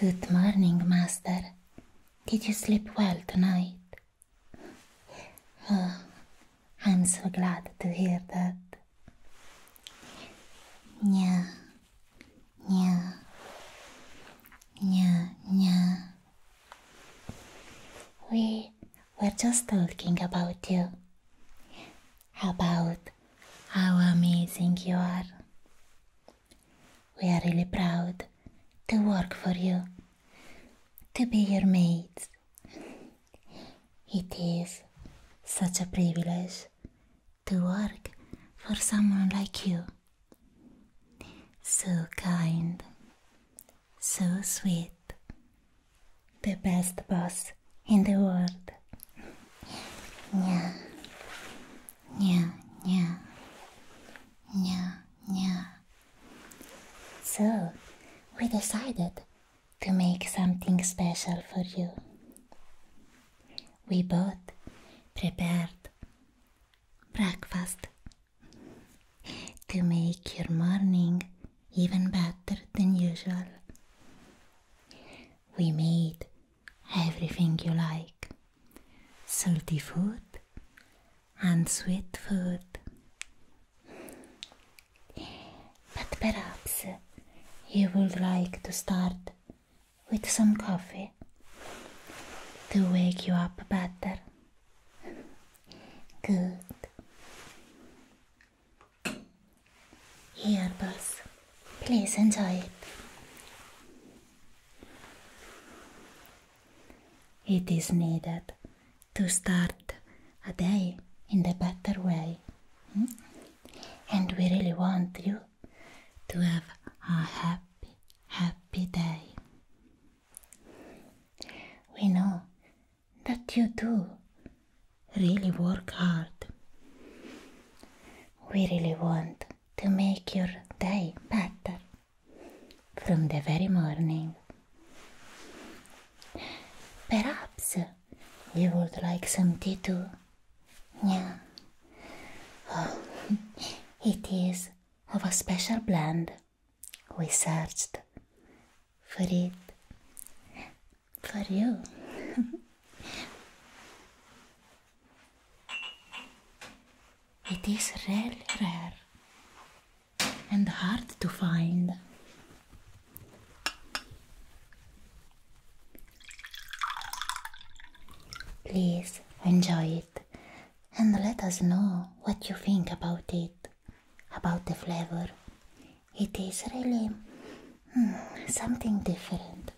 Good morning, Master. Did you sleep well tonight? Oh, I'm so glad to hear that. Nya, nya, nya, nya. We were just talking about you about how amazing you are. We are really proud to work for you, to be your mates. It is such a privilege to work for someone like you. So kind, so sweet, the best boss in the world. Yeah. Yeah, yeah. Yeah, yeah. So, we decided to make something special for you. We both prepared breakfast to make your morning even better than usual. We made everything you like salty food and sweet food. But perhaps you would like to start with some coffee to wake you up better. Good. Here, boss. Please enjoy it. It is needed to start a day in the better way. Hmm? And we really want you to have a happy, happy day. We know that you do really work hard. We really want to make your day better from the very morning. Perhaps you would like some tea too? Yeah. Oh, it is of a special blend. We searched for it for you. it is really rare and hard to find. Please enjoy it and let us know what you think about it, about the flavor, it is really hmm, something different.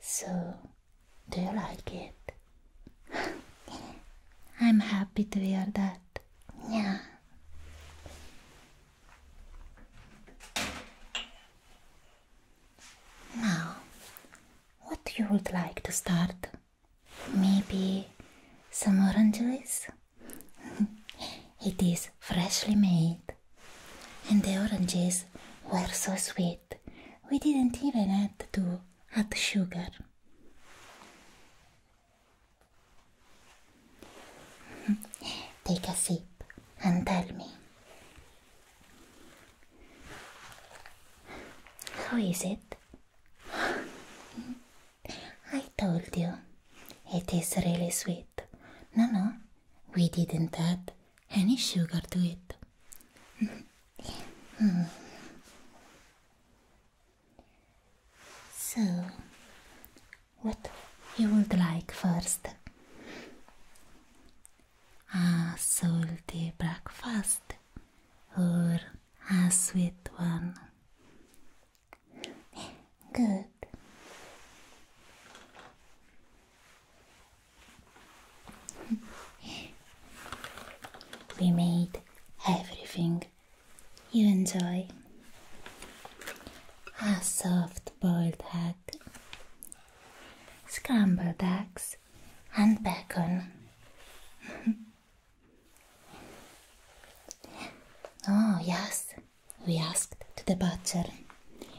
So, do you like it? I'm happy to hear that. Yeah. Now, what you would like to start? Maybe some oranges? it is freshly made. And the oranges were so sweet, we didn't even add to add sugar. Take a sip and tell me. How is it? I told you. It is really sweet. No, no, we didn't add any sugar to it. so, what you would like first? A salty breakfast or a sweet one? Good. We made everything you enjoy. A soft boiled egg, scrambled eggs, and bacon. Oh, yes, we asked to the butcher.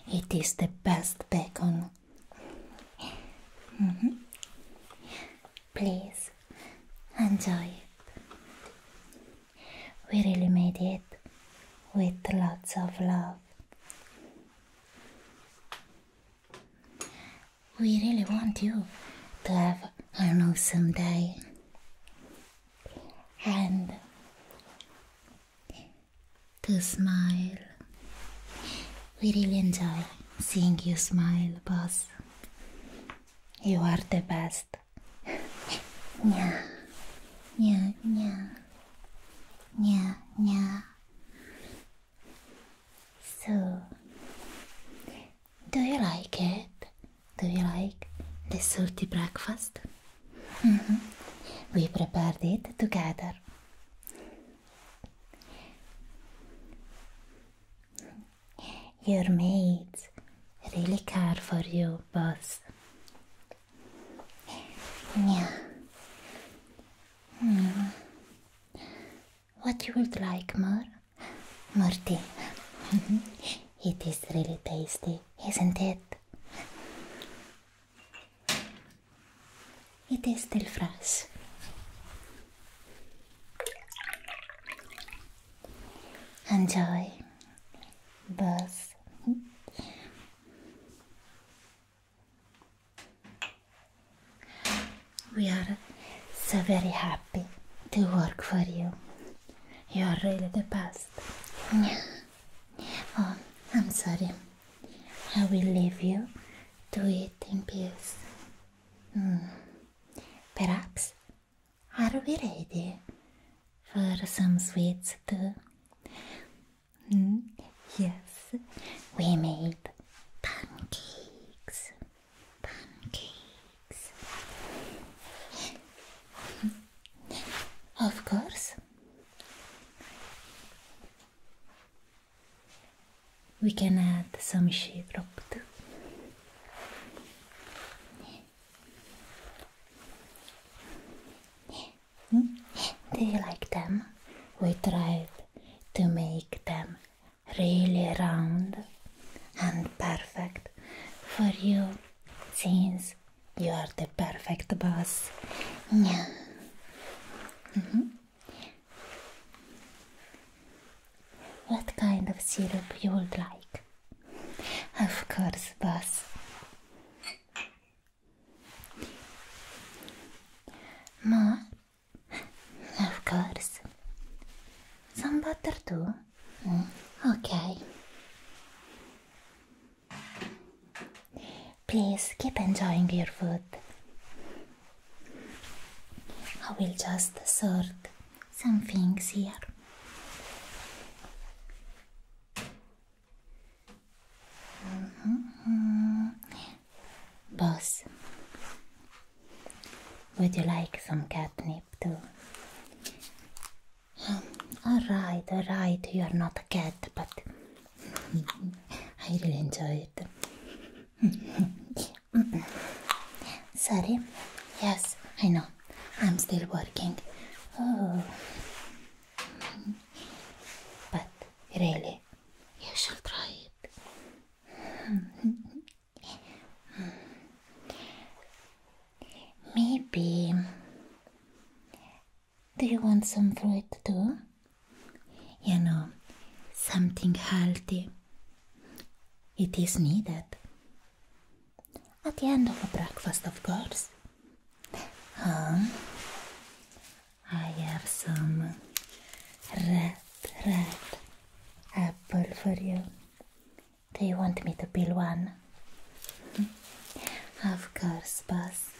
It is the best bacon. Mm-hmm. Please enjoy it. We really made it with lots of love. We really want you to have a nice day. And to smile. We really enjoy seeing you smile, boss. You are the best. Nya, nya, nya, nya, nya. So, do you like it? Do you like the salty breakfast? Mm-hmm. We prepared it together. Your maids really care for you, boss. Yeah. Hmm. What you would like more? Morty, it is really tasty, isn't it? It is still fresh. Enjoy, Buzz. We are so very happy to work for you. You are really the best. Oh, I'm sorry. I will leave you to eat in peace. Hmm. Perhaps are we ready for some sweets too? Hmm. yes, we made pancakes pancakes. of course. We can add some sheetrock too. Hmm? Do you like them? We tried to make them really round and perfect for you since you are the perfect boss. Yeah. Mm-hmm. What kind of syrup you would like? Of course, boss. More of course. Some butter too? Mm. Okay. Please keep enjoying your food. I will just sort some things here. Mm Boss, Would you like some catnip too? Hmm, alright, alright, you are not a cat, but I really enjoy it. Sorry, yes, I know, I'm still working. Oh. But really, you should try it. Maybe. Do you want some fruit too? You know, something healthy. It is needed. At the end of a breakfast, of course. I have some red, red apple for you. Do you want me to peel one? Hmm? of course, boss.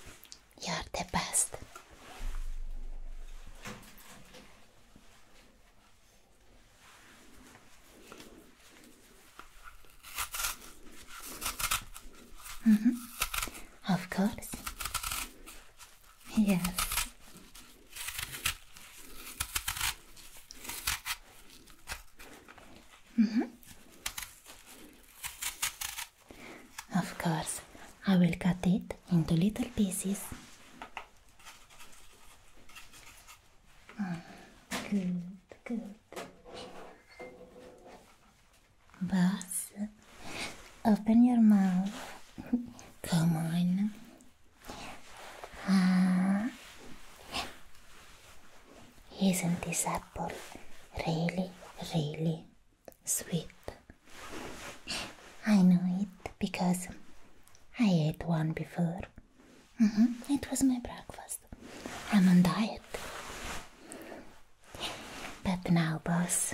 You're the best. Mm -hmm. Of course. Yes. Mm -hmm. Of course, I will cut it into little pieces. Mm, good, good. But Open your mouth. Come on. Isn't ah. this apple really, really sweet? I know it because I ate one before. Mm-hmm. It was my breakfast. I'm on diet. But now, boss,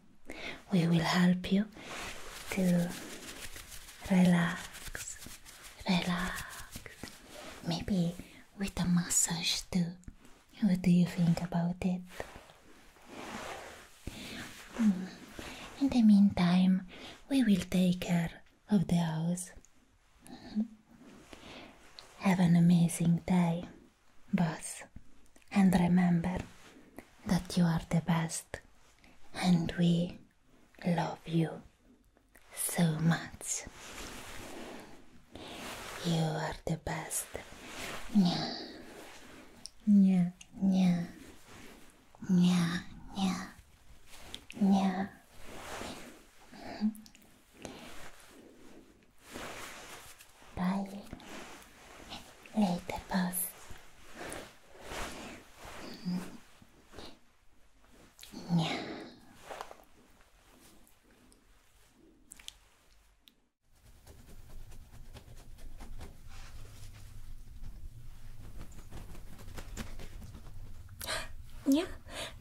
We will help you to relax, relax. Maybe with a massage too. What do you think about it? Hmm. In the meantime, we will take care of the house. Hmm. Have an amazing day, boss, and remember that you are the best and we love you so much. You are the best. Nya, nya, nya, nya, nya, nya. Bye. Later, boss. Yeah. Yeah,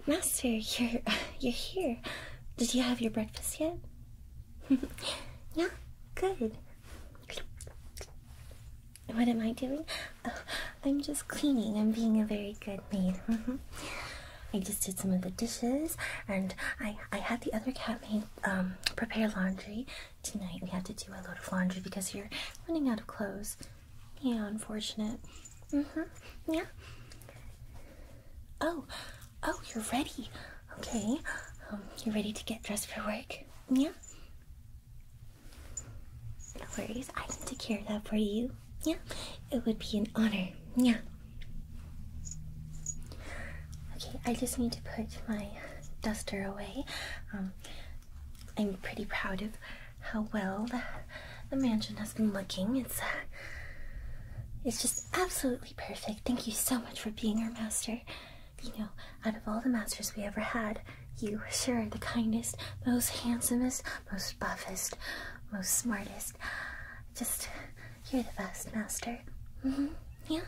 Master, you're you're here. Did you have your breakfast yet? yeah, good. What am I doing? Oh, I'm just cleaning. I'm being a very good maid. Mm-hmm. I just did some of the dishes, and I I had the other cat maid um prepare laundry tonight. We had to do a load of laundry because you're running out of clothes. Yeah, unfortunate. Mhm. yeah. Oh, oh, you're ready. Okay, um, you're ready to get dressed for work? Yeah? No worries, I can take care of that for you. Yeah, it would be an honor. Yeah. Okay, I just need to put my duster away. Um, I'm pretty proud of how well the, mansion has been looking. It's it's just absolutely perfect. Thank you so much for being our master. You know, out of all the masters we ever had, you were sure the kindest, most handsomest, most buffest, most smartest. Just, you're the best, master. Mm-hmm. Yeah.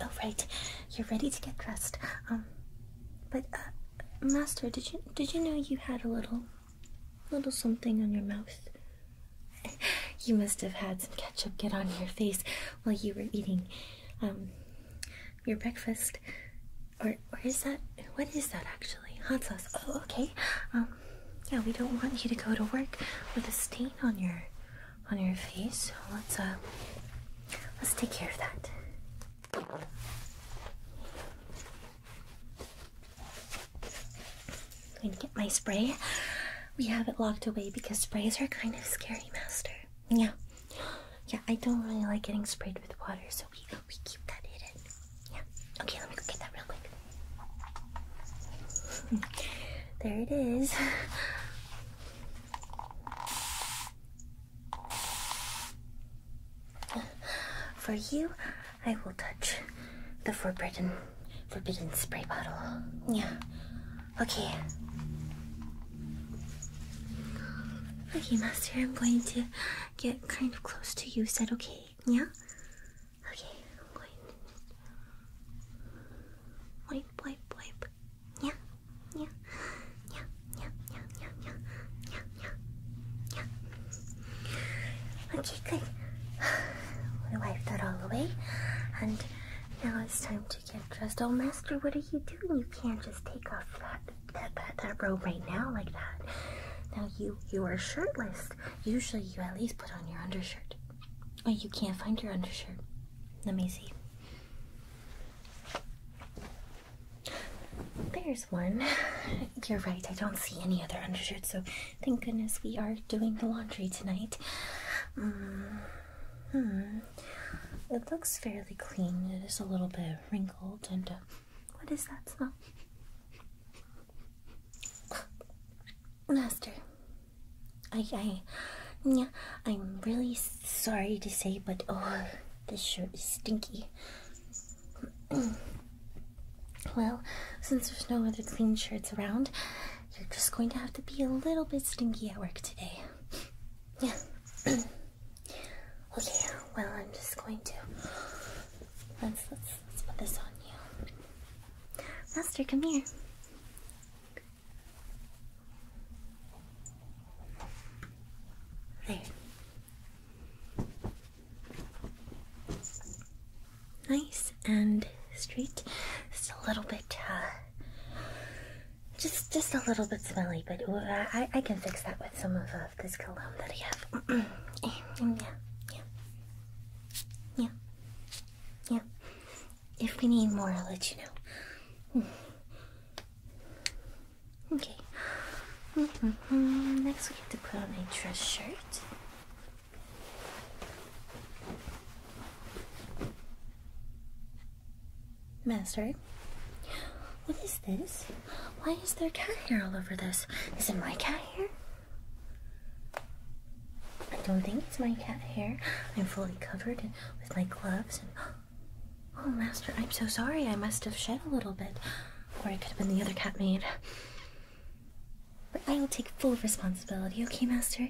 All oh, you're ready to get dressed. Um, but uh, master, did you did you know you had a little, little something on your mouth? you must have had some ketchup get on your face while you were eating um, your breakfast. Or, or is that, what is that actually? Hot sauce. Oh, okay. Um, yeah, we don't want you to go to work with a stain on your, on your face. So let's, uh, let's take care of that. I'm going to get my spray. We have it locked away because sprays are kind of scary, Master. Yeah. Yeah, I don't really like getting sprayed with water, so we, we keep that hidden. Yeah. Okay, let me go get that real quick. Hmm. there it is. For you, I will touch the forbidden Forbidden spray bottle. Yeah. Okay. Okay, Master, I'm going to get kind of close to you. Is that okay? Yeah? Okay, I'm going to. Wipe, wipe, wipe. Yeah, yeah, yeah, yeah, yeah, yeah, yeah, yeah, yeah, yeah. Okay, good. We wiped that all away. And now it's time to get dressed. Oh, Master, what are you doing? You can't just take off that that, that, that robe right now like that. Now you, you are shirtless. Usually you at least put on your undershirt. Oh, you can't find your undershirt. Let me see. There's one. You're right, I don't see any other undershirt, so Thank goodness we are doing the laundry tonight. Mm-hmm. Hmm. It looks fairly clean. It is a little bit wrinkled and uh, what is that smell? Master, I, yeah, I'm really sorry to say, but oh, this shirt is stinky. well, since there's no other clean shirts around, you're just going to have to be a little bit stinky at work today. Yeah. okay, well, I'm just going to. Let's, let's, let's put this on you. Master, come here. There nice and straight. Just a little bit, uh, just just a little bit smelly, but uh, I I can fix that with some of uh, this cologne that I have. yeah, yeah, yeah, yeah. If we need more, I'll let you know. Okay. Mm-hmm. Next, we have to put on a dress shirt. Master, what is this? Why is there cat hair all over this? Is it my cat hair? I don't think it's my cat hair. I'm fully covered with my gloves Oh, Master, I'm so sorry. I must have shed a little bit. Or I could have been the other cat maid. But I will take full responsibility, okay, Master?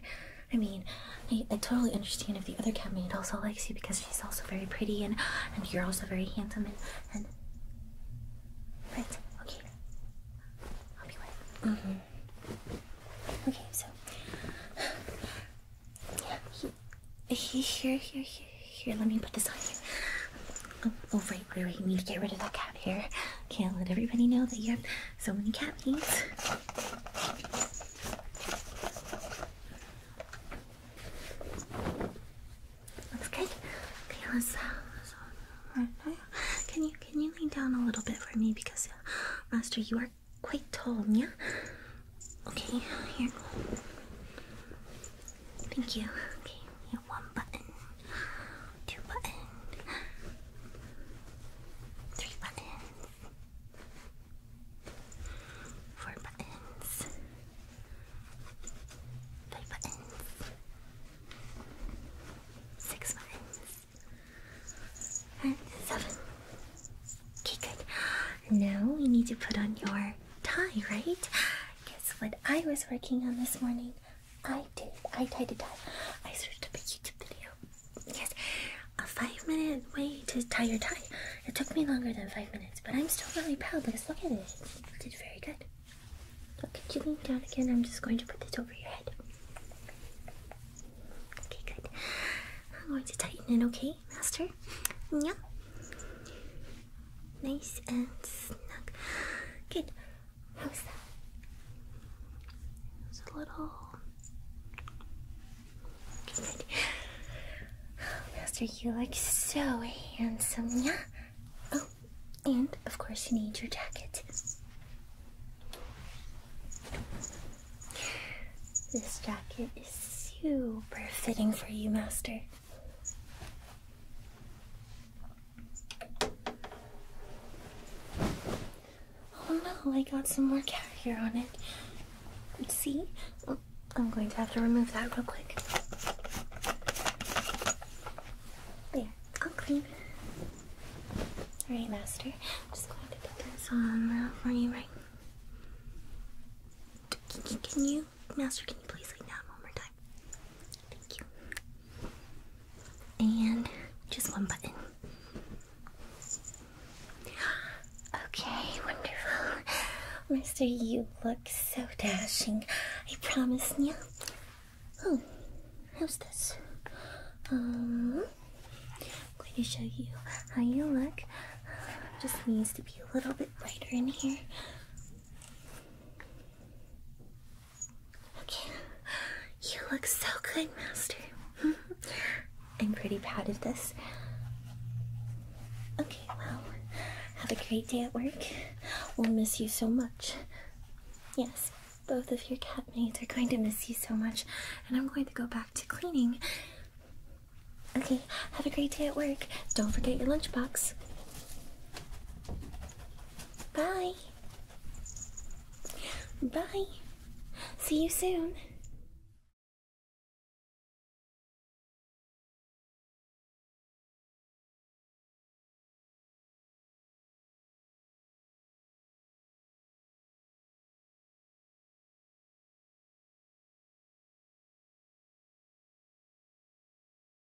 I mean, I, I totally understand if the other catmaid also likes you because she's also very pretty and, and you're also very handsome and. and... Right, okay. I'll be right mm-hmm. Okay, so. Yeah, here, here, here, here, let me put this on you. Um, Oh, right, right, right. Need to get rid of that cat hair. Can't let everybody know that you have so many cat things. Okay, let's, uh, uh, oh, Can you can you lean down a little bit for me because, uh, Master, you are quite tall, yeah? Okay, here. Thank you. Okay, one button. Two buttons. Three buttons. Four buttons. Five buttons. Six buttons. And seven. Okay, good. Now we need to put on your tie, right? Guess what I was working on this morning? I did. I tied to tie. I searched up a YouTube video. Yes, a five minute way to tie your tie. It took me longer than five minutes, but I'm still really proud because look at it. You did very good. Okay, you lean down again. I'm just going to put this over your head. Okay, good. I'm going to tighten it, okay, Master? Yeah. Nice and snug. Good. How's that? It's a little. Good. Master, you look so handsome, yeah? Oh, and of course, you need your jacket. This jacket is super fitting for you, Master. Oh no, I got some more cat hair on it. Let's see? I'm going to have to remove that real quick. There, I'll oh, clean. Alright, Master. I'm just going to put this on uh, for you, right? Can you, Master, can you please lay down one more time? Thank you. And just one button. Okay, wonderful. Mister, you look so dashing. I promise you. Oh, how's this? Um, I'm going to show you how you look. Just needs to be a little bit brighter in here. Okay. You look so good, Master. I'm pretty proud of this. Okay, well, have a great day at work. We'll miss you so much. Yes, both of your cabmates are going to miss you so much, and I'm going to go back to cleaning. Okay, have a great day at work. Don't forget your lunchbox. Bye. Bye. See you soon.